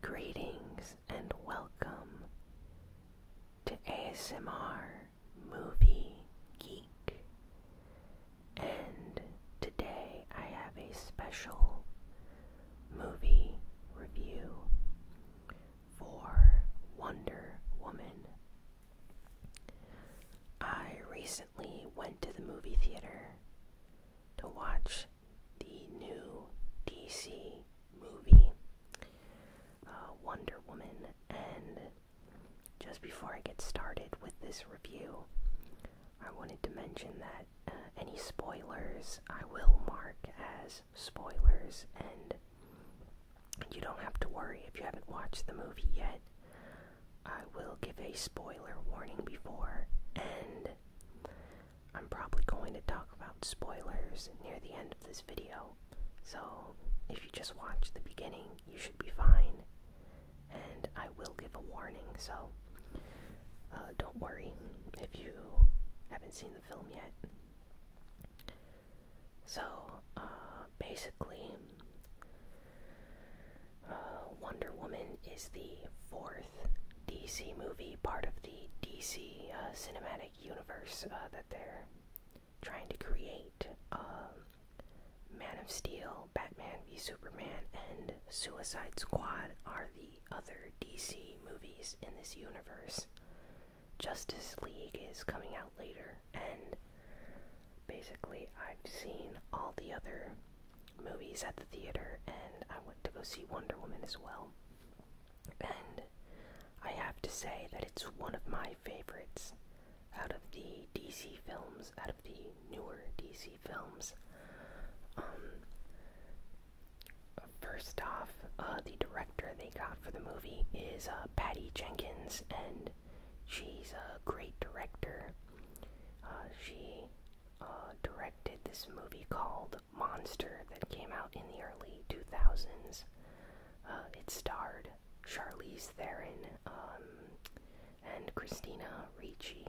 Greetings and welcome to ASMR Movie Geek. And today I have a special movie review for Wonder Woman. I recently went to the movie theater to watch the new DC movie, uh, Wonder Woman. And just before I get started with this review, I wanted to mention that uh, any spoilers I will mark as spoilers, and you don't have to worry if you haven't watched the movie yet. I will give a spoiler warning before, and I'm probably going to talk about spoilers near the end of this video, so if you just watch the beginning, you should be fine. And I will give a warning, so uh, don't worry if you haven't seen the film yet. So, uh, basically, uh, Wonder Woman is the fourth DC movie, part of the DC uh, cinematic universe uh, that they're trying to create. Um, Man of Steel, Batman v Superman, and Suicide Squad are the other DC movies in this universe. Justice League is coming out later, and basically, I've seen all the other movies at the theater, and I went to go see Wonder Woman as well and I have to say that it's one of my favorites out of the DC films, out of the newer DC films. Um, first off, uh, the director they got for the movie is uh, Patty Jenkins, and she's a great director. Uh, she uh, directed this movie called Monster that came out in the early 2000s. Uh, it starred Charlize Theron um, and Christina Ricci,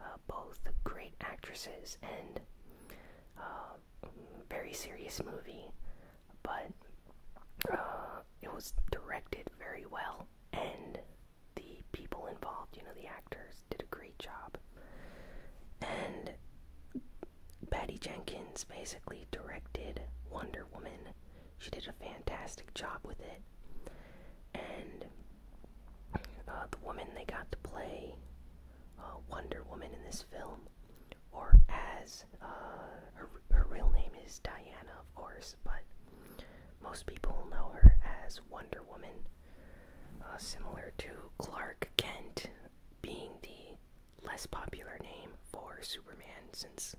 uh, both great actresses, and uh, very serious movie, but uh, it was directed very well, and the people involved, you know, the actors did a great job. And Patty Jenkins basically directed Wonder Woman. She did a fantastic job with it. And uh, the woman they got to play uh, Wonder Woman in this film, or as uh, her, real name is Diana, of course, but most people know her as Wonder Woman, similar to Clark Kent being the less popular name for Superman since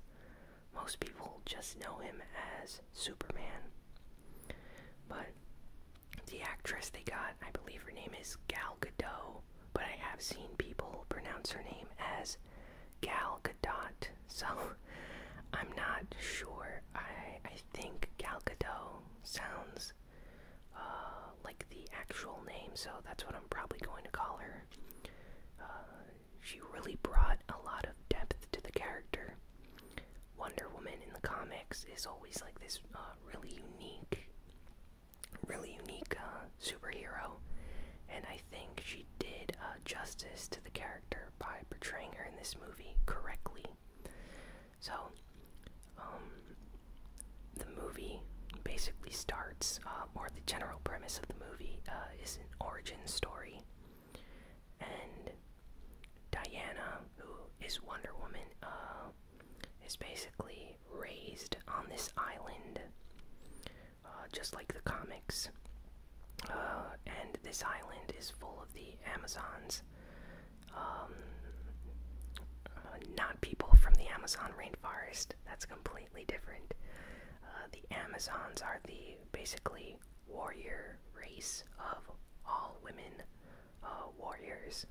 most people just know him as Superman. But the actress they got, I believe her name is Gal Gadot, but I have seen people pronounce her name as Gal Gadot, so I'm not sure. I I think Gal Gadot sounds uh, like the actual name, so that's what I'm probably going to call her. Uh, she really brought a lot of depth to the character. Wonder Woman in the comics is always like this uh, really unique, really unique superhero, and I think she did justice to the character by portraying her in this movie correctly. So, um, the movie basically starts, uh, or the general premise of the movie uh, is an origin story. And Diana, who is Wonder Woman, uh, is basically raised on this island, just like the comics. and this island is full of the Amazons, um, uh, not people from the Amazon rainforest. That's completely different. Uh, the Amazons are the basically warrior race of all women uh, warriors.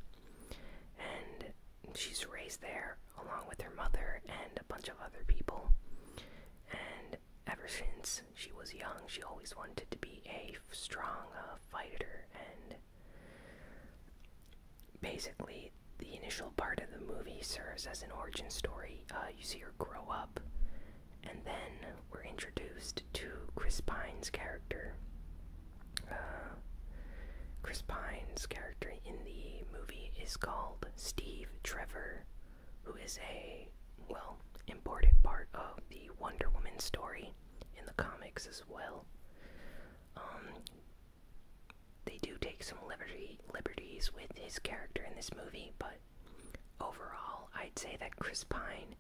And she's raised there along with her mother and a bunch of other people. And ever since she was young, she always wanted to be a strong fighter and Basically, the initial part of the movie serves as an origin story. Uh, you see her grow up, and then we're introduced to Chris Pine's character. Uh, Chris Pine's character in the movie is called Steve Trevor, who is a, well, important part of the Wonder Woman story in the comics as well. Um, they do take some liberty liberties with his character in this movie, but overall, I'd say that Chris Pine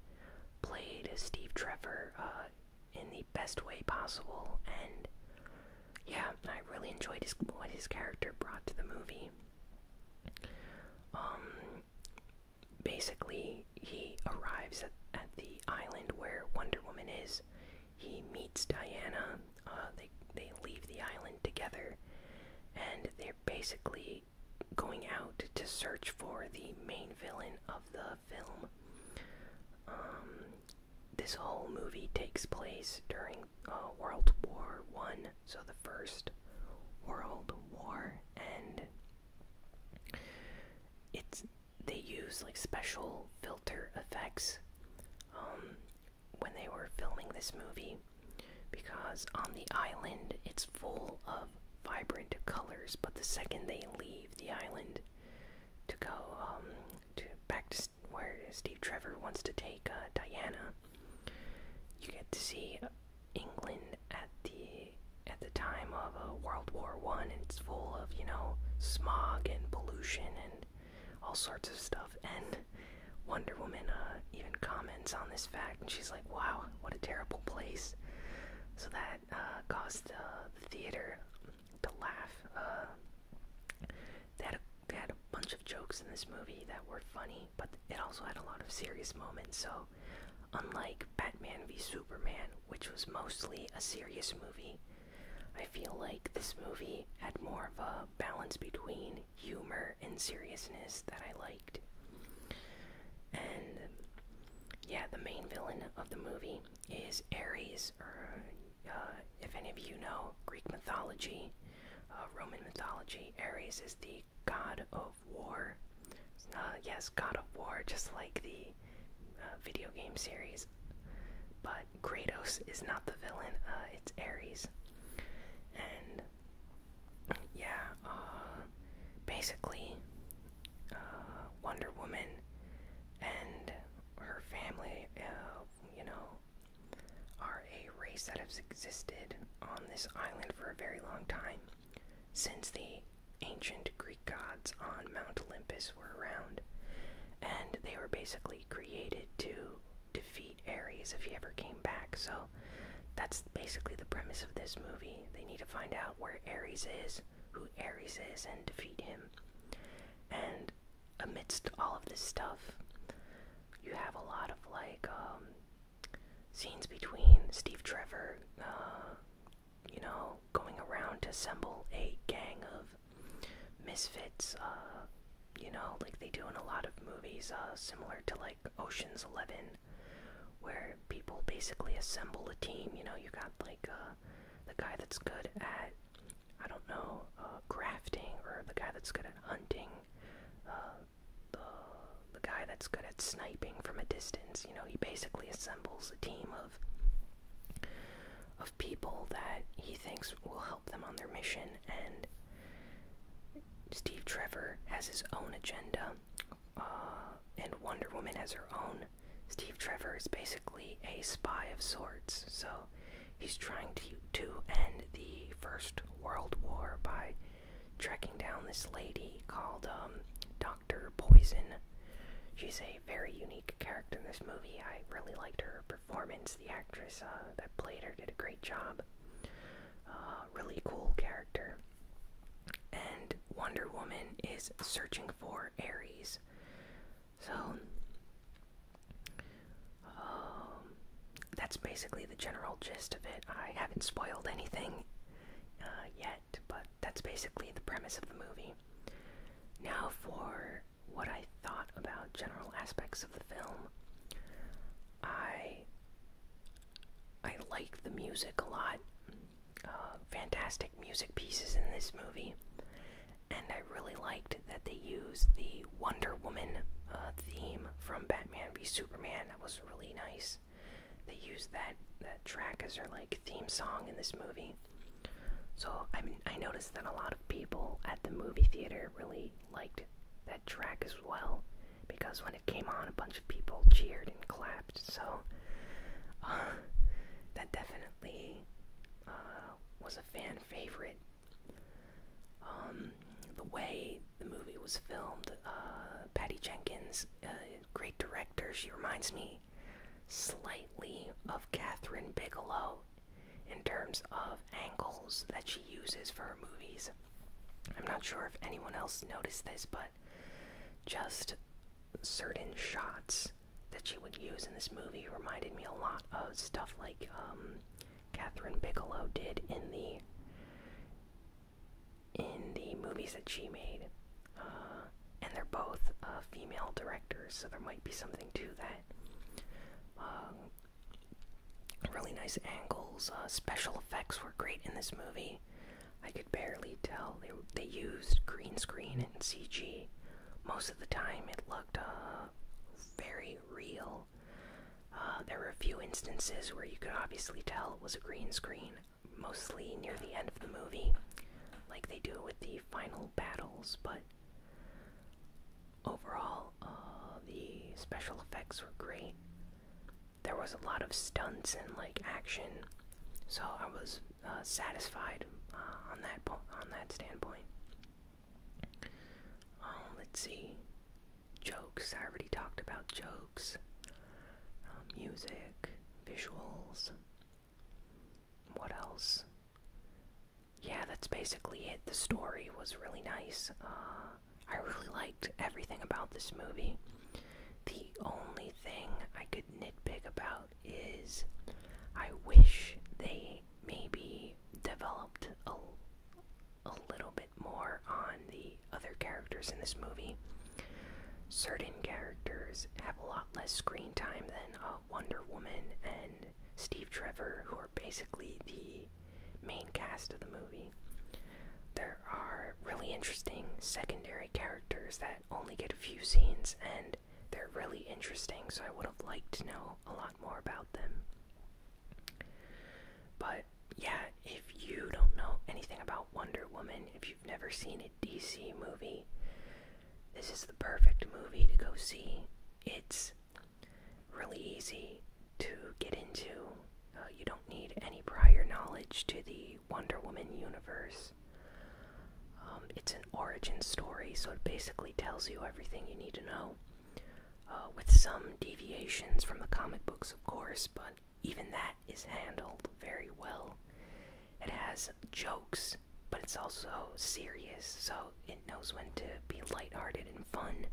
played Steve Trevor uh, in the best way possible, and yeah, I really enjoyed what his character brought to the movie. Um, basically, he arrives at, at the island where Wonder Woman is. He meets Diana. Uh, they they leave the island together, and they're basically going out to search for the main villain of the film. Um, this whole movie takes place during uh, World War One, so the first World War, and it's they use like special filter effects um, when they were filming this movie because on the island it's full of vibrant colors but the second they leave the island to go um, to back to where Steve Trevor wants to take uh, Diana you get to see England at the at the time uh, World War One, and it's full of you know smog and pollution and all sorts of stuff. And Wonder Woman uh, even comments on this fact, and she's like, "Wow, what a terrible place." So that uh, caused the theater to laugh. they had, a, they had a bunch of jokes in this movie that were funny, but it also had a lot of serious moments. So, unlike Batman v Superman, which was mostly a serious movie, I feel like this movie had more of a balance between humor and seriousness that I liked. And yeah, the main villain of the movie is Ares, uh, if any of you know Greek mythology, uh, Roman mythology, Ares is the god of war. Uh, yes, God of War, just like the video game series but Kratos is not the villain, uh, it's Ares. And yeah, uh, basically, uh, Wonder Woman and her family, you know, are a race that has existed on this island for a very long time since the ancient Greek gods on Mount Olympus were around, and they were basically created to defeat Ares if he ever came back. So that's basically the premise of this movie. They need to find out where Ares is, who Ares is, and defeat him. And amidst all of this stuff, you have a lot of like um, scenes between Steve Trevor, uh, you know, going around to assemble a gang of misfits, uh, you know, like they do in a lot of movies, uh, similar to like Ocean's Eleven, where people basically assemble a team. You know, you got like uh, the guy that's good at, I don't know, uh, crafting, or the guy that's good at hunting, uh, the, the guy that's good at sniping from a distance. You know, he basically assembles a team of of people that he thinks will help them on their mission, and Steve Trevor has his own agenda, uh, and Wonder Woman has her own. Steve Trevor is basically a spy of sorts, so he's trying to, to end the First World War by tracking down this lady called um, Dr. Poison. She's a very unique character in this movie. I really liked her performance. The actress uh, that played her did a great job. Uh, really cool character. And Wonder Woman is searching for Ares. So, um, that's basically the general gist of it. I haven't spoiled anything uh, yet, but that's basically the premise of the movie. Now for what I thought about general aspects of the film. I I like the music a lot. Uh, fantastic music pieces in this movie, and I really liked that they used the Wonder Woman uh, theme from Batman v Superman. That was really nice. They used that that track as their like theme song in this movie. So I noticed that a lot of people at the movie theater really liked that track as well, because when it came on, a bunch of people cheered and clapped. So uh, that definitely uh, was a fan favorite. Um, the way the movie was filmed, uh, Patty Jenkins, great director. She reminds me slightly of Catherine Bigelow in terms of angles that she uses for her movies. I'm not sure if anyone else noticed this, but just certain shots that she would use in this movie reminded me a lot of stuff like um, Catherine Bigelow did in the in the movies that she made. Uh, and they're both uh, female directors, so there might be something to that. Um, really nice angles. Uh, special effects were great in this movie. I could barely tell. They, used green screen and CG. Most of the time, it looked uh, very real. there were a few instances where you could obviously tell it was a green screen, mostly near the end of the movie, like they do with the final battles, but Overall, uh, the special effects were great. There was a lot of stunts and like action, so I was uh, satisfied uh, on that on that standpoint. Um, let's see, jokes. I already talked about jokes, um, music, visuals. What else? Yeah, that's basically it. The story was really nice. Uh, I really liked everything about this movie. The only thing I could nitpick about is I wish they maybe developed a, a little bit more on the other characters in this movie. Certain characters have a lot less screen time than uh, Wonder Woman and Steve Trevor, who are basically the main cast of the movie. There are really interesting secondary characters that only get a few scenes, and they're really interesting, so I would have liked to know a lot more about them. But yeah, if you don't know anything about Wonder Woman, if you've never seen a DC movie, this is the perfect movie to go see. It's really easy to get into. Uh, you don't need any prior knowledge to the Wonder Woman universe. Um, it's an origin story, so it basically tells you everything you need to know. Uh, with some deviations from the comic books, of course, but even that is handled very well. It has jokes but it's also serious, so it knows when to be lighthearted and fun.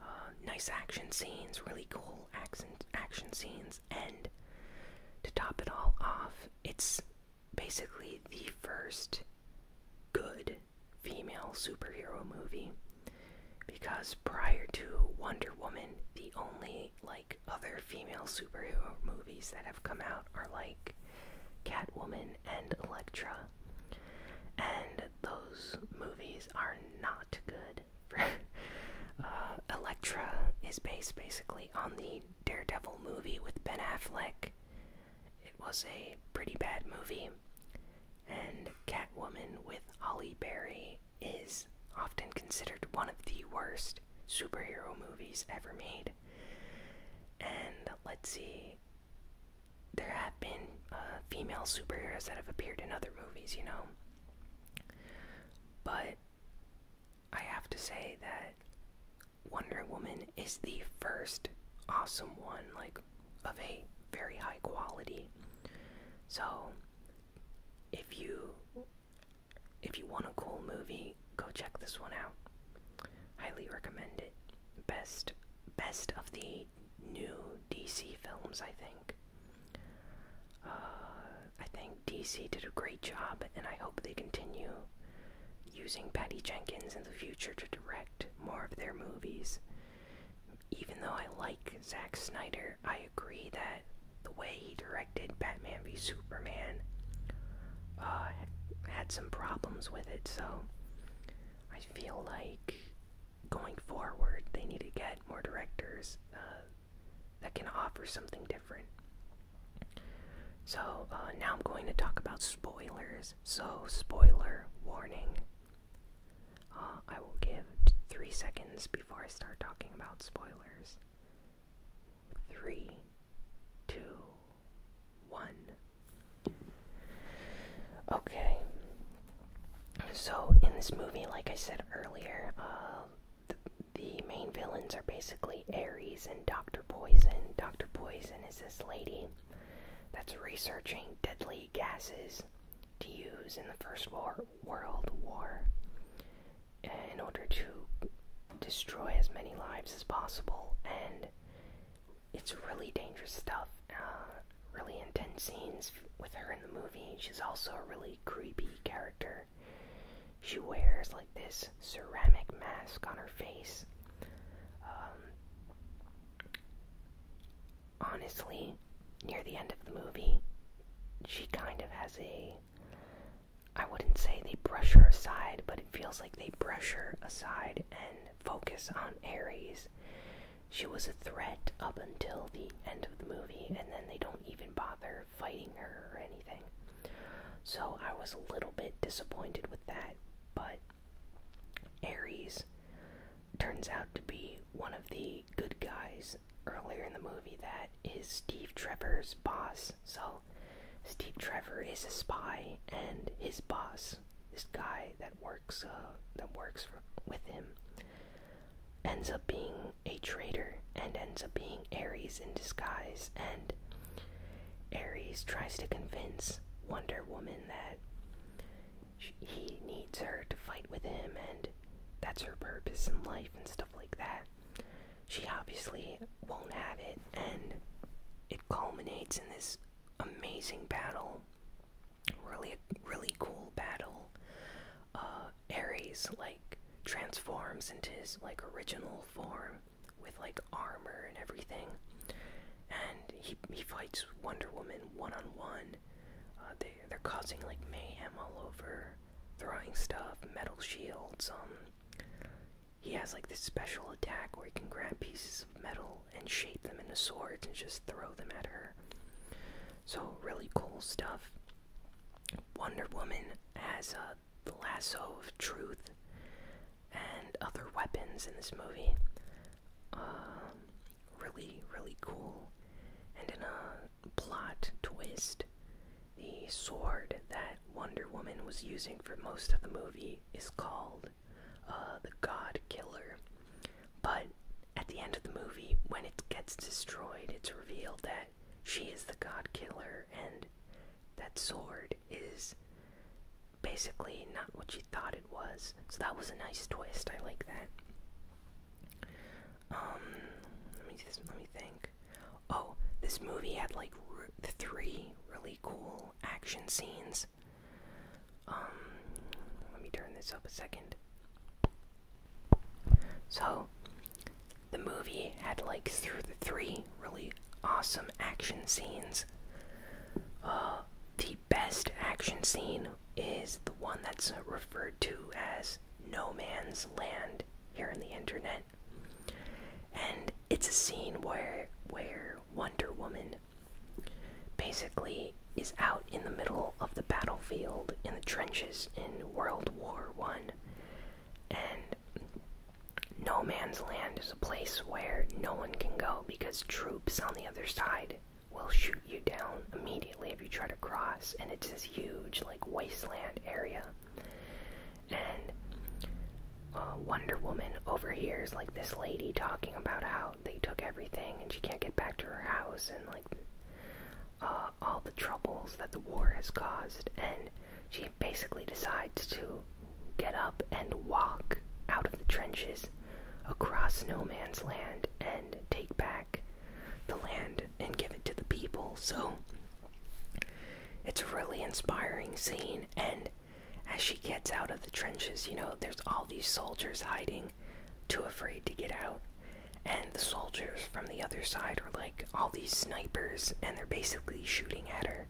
Uh, nice action scenes, really cool action, action scenes, and to top it all off, it's basically the first good female superhero movie because prior to Wonder Woman, the only like other female superhero movies that have come out are like Catwoman, and Elektra. And those movies are not good. Uh, Elektra is based basically on the Daredevil movie with Ben Affleck. It was a pretty bad movie. And Catwoman with Holly Berry is often considered one of the worst superhero movies ever made. And let's see, there have been uh, female superheroes that have appeared in other movies, you know. But I have to say that Wonder Woman is the first awesome one, like of a very high quality. So if you if you want a cool movie, Go check this one out. Highly recommend it. Best best of the new DC films, I think. Uh, I think DC did a great job, and I hope they continue using Patty Jenkins in the future to direct more of their movies. Even though I like Zack Snyder, I agree that the way he directed Batman Batman v Superman uh, had some problems with it, so I feel like going forward they need to get more directors uh, that can offer something different. So uh, now I'm going to talk about spoilers. So, spoiler warning. I will give three seconds before I start talking about spoilers. Three two, one. Okay. So, in this movie, like I said earlier, um, the, the main villains are basically Ares and Dr. Poison. Dr. Poison is this lady that's researching deadly gases to use in the First War, World War in order to destroy as many lives as possible and it's really dangerous stuff. Uh, really intense scenes with her in the movie. She's also a really creepy character. She wears like this ceramic mask on her face. Um, honestly, near the end of the movie, she kind of has a I wouldn't say they brush her aside, but it feels like they brush her aside and focus on Aries. She was a threat up until the end of the movie, and then they don't even bother fighting her or anything. So I was a little bit disappointed with that, but Ares turns out to be one of the good guys earlier in the movie that is Steve Trevor's boss so, Steve Trevor is a spy, and his boss, this guy that works uh, that works with him, ends up being a traitor and ends up being Ares in disguise. And Ares tries to convince Wonder Woman that she, he needs her to fight with him, and that's her purpose in life and stuff like that she obviously won't have it, and it culminates in this amazing battle. Really, really cool battle. Uh, Ares like transforms into his like original form with like armor and everything, and he he fights Wonder Woman one on one. Uh, they they're causing like mayhem all over, throwing stuff, metal shields, um, he has like this special attack where he can grab pieces of metal and shape them into swords and just throw them at her. So, really cool stuff. Wonder Woman has a uh, lasso of truth and other weapons in this movie. Um, really, really cool. And in a plot twist, the sword that Wonder Woman was using for most of the movie is called uh, the God Killer. But at the end of the movie, when it gets destroyed, it's revealed that she is the God Killer and that sword is basically not what she thought it was. So that was a nice twist. I like that. Um, let me let me think. Oh, this movie had like three really cool action scenes. Um, let me turn this up a second. So, the movie had like through the three really awesome action scenes. Uh, the best action scene is the one that's referred to as No Man's Land here on the internet. And it's a scene where where Wonder Woman basically is out in the middle of the battlefield in the trenches in World War One, and no man's land is a place where no one can go because troops on the other side will shoot you down immediately if you try to cross, and it's this huge like wasteland area and uh, Wonder Woman overhears like this lady talking about how they took everything and she can't get back to her house and like uh, all the troubles that the war has caused and she basically decides to get up and walk out of the trenches across no man's land and take back the land and give it to the people so it's a really inspiring scene and as she gets out of the trenches, you know, there's all these soldiers hiding, too afraid to get out. And the soldiers from the other side are like all these snipers, and they're basically shooting at her.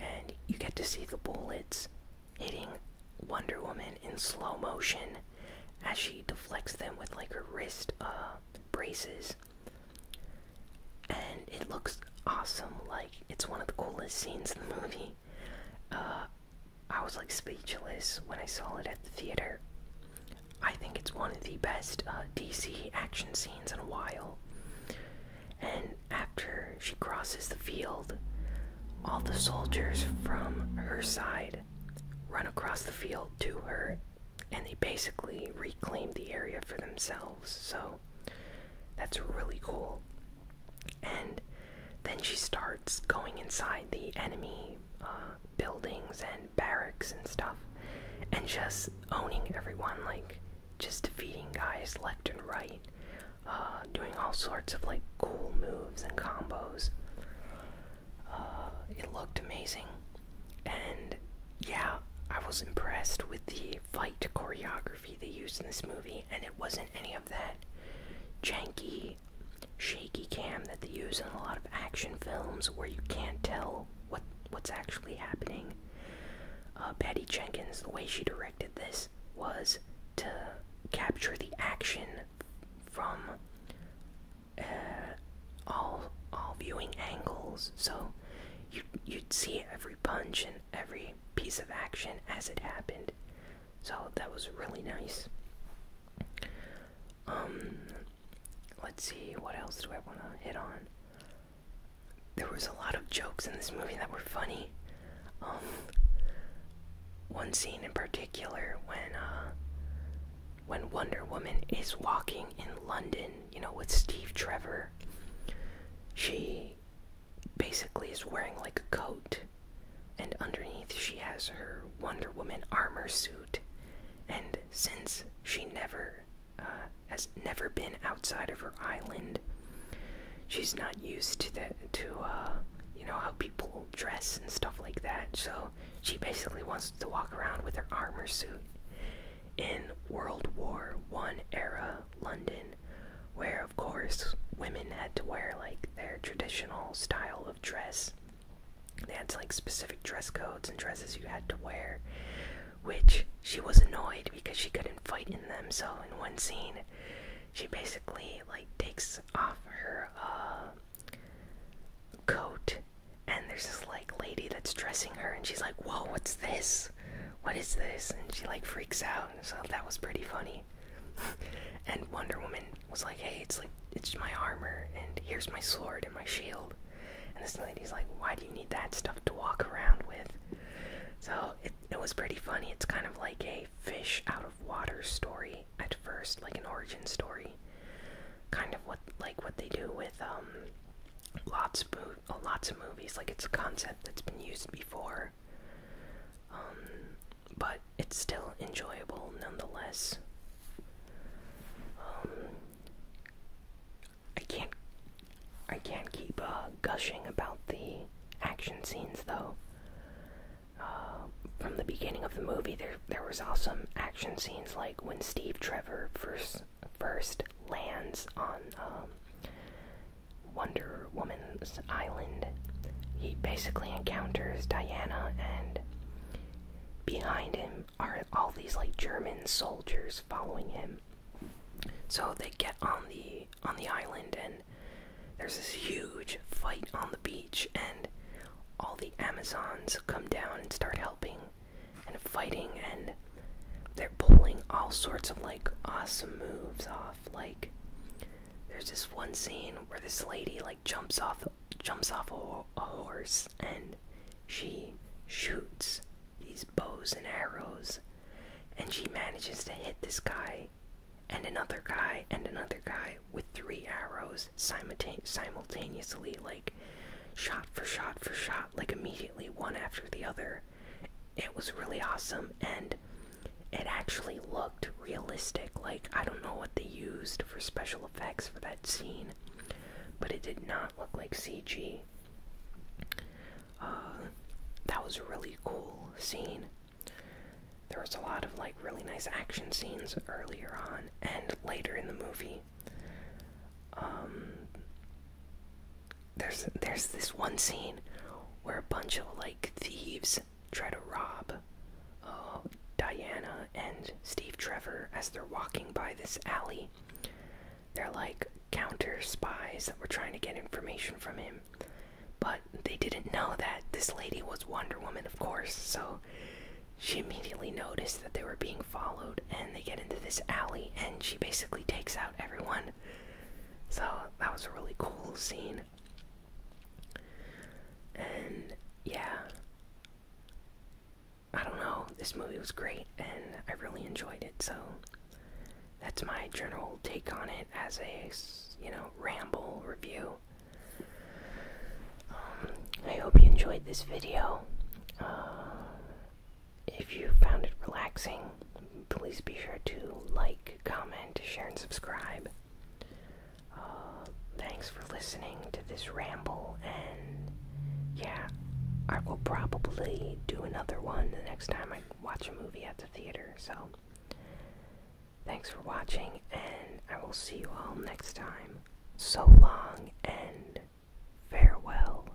And you get to see the bullets hitting Wonder Woman in slow motion as she deflects them with like her wrist uh, braces and it looks awesome. Like it's one of the coolest scenes in the movie. Uh, I was like speechless when I saw it at the theater. I think it's one of the best uh, DC action scenes in a while. And after she crosses the field, all the soldiers from her side run across the field to her, and they basically reclaim the area for themselves. So that's really cool. And then she starts going inside the enemy uh, buildings and barracks and stuff and just owning everyone, like just defeating guys left and right, uh, doing all sorts of like cool moves and combos. Uh, it looked amazing. And yeah, I was impressed with the fight choreography they used in this movie, and it wasn't any of that janky, shaky cam that they use in a lot of action films where you can't tell what what's actually happening. Uh, Patty Jenkins, the way she directed this was to capture the action from uh, all all viewing angles, so you you'd see every punch and every piece of action as it happened. So that was really nice. Um, let's see, what else do I want to hit on? There was a lot of jokes in this movie that were funny. Um, one scene in particular when uh, when Wonder Woman is walking in London, you know, with Steve Trevor, she basically is wearing like a coat, and underneath she has her Wonder Woman armor suit. And since she never uh, has never been outside of her island, she's not used to that to uh, you know how people dress and stuff like that. So she basically wants to walk around with her armor suit. In World War One era, London, where, of course, women had to wear like their traditional style of dress. They had like specific dress codes and dresses you had to wear, which she was annoyed because she couldn't fight in them. So in one scene, she basically like takes off her uh, coat, and there's this like lady that's dressing her, and she's like, "Whoa, what's this?" what is this? And she like freaks out. So that was pretty funny. and Wonder Woman was like, hey, it's like it's my armor, and here's my sword and my shield. And this lady's like, why do you need that stuff to walk around with? So it, it was pretty funny. It's kind of like a fish out of water story at first, like an origin story. Kind of what like what they do with um Lotspoon lots of movies. Like, it's a concept that's been used before. Um, but it's still enjoyable nonetheless. Um, I can't, I can't keep uh, gushing about the action scenes though. Uh, from the beginning of the movie, there there was awesome action scenes, like when Steve Trevor first first lands on um, Wonder Woman's Island, he basically encounters Diana, and behind him are all these like German soldiers following him. So they get on the on the island, and there's this huge fight on the beach, and all the Amazons come down and start helping and fighting, and they're pulling all sorts of like awesome moves off. Like, there's this one scene where this lady like jumps off jumps off a, horse and she shoots these bows and arrows, and she manages to hit this guy, and another guy, and another guy with three arrows simultane simultaneously, like shot for shot for shot, like immediately one after the other. It was really awesome and it actually looked realistic. Like, I don't know what they used for special effects for that scene, but it did not look like CG. Uh, that was a really cool scene. There was a lot of like really nice action scenes earlier on and later in the movie. Um, there's there's this one scene where a bunch of like thieves try to rob uh, Diana and Steve Trevor as they're walking by this alley. They're like counter spies that were trying to get information from him, but they didn't know that this lady was Wonder Woman, of course. So she immediately noticed that they were being followed, and they get into this alley, and she basically takes out everyone so that was a really cool scene. And yeah, I don't know, this movie was great and I really enjoyed it. So that's my general take on it as a, you know, ramble review. Um, I hope you enjoyed this video. Uh, if you found it relaxing, please be sure to like, comment, share, and subscribe. Uh, thanks for listening to this ramble, and yeah, I will probably do another one the next time I watch a movie at the theater. So, thanks for watching, and I will see you all next time. So long, and farewell.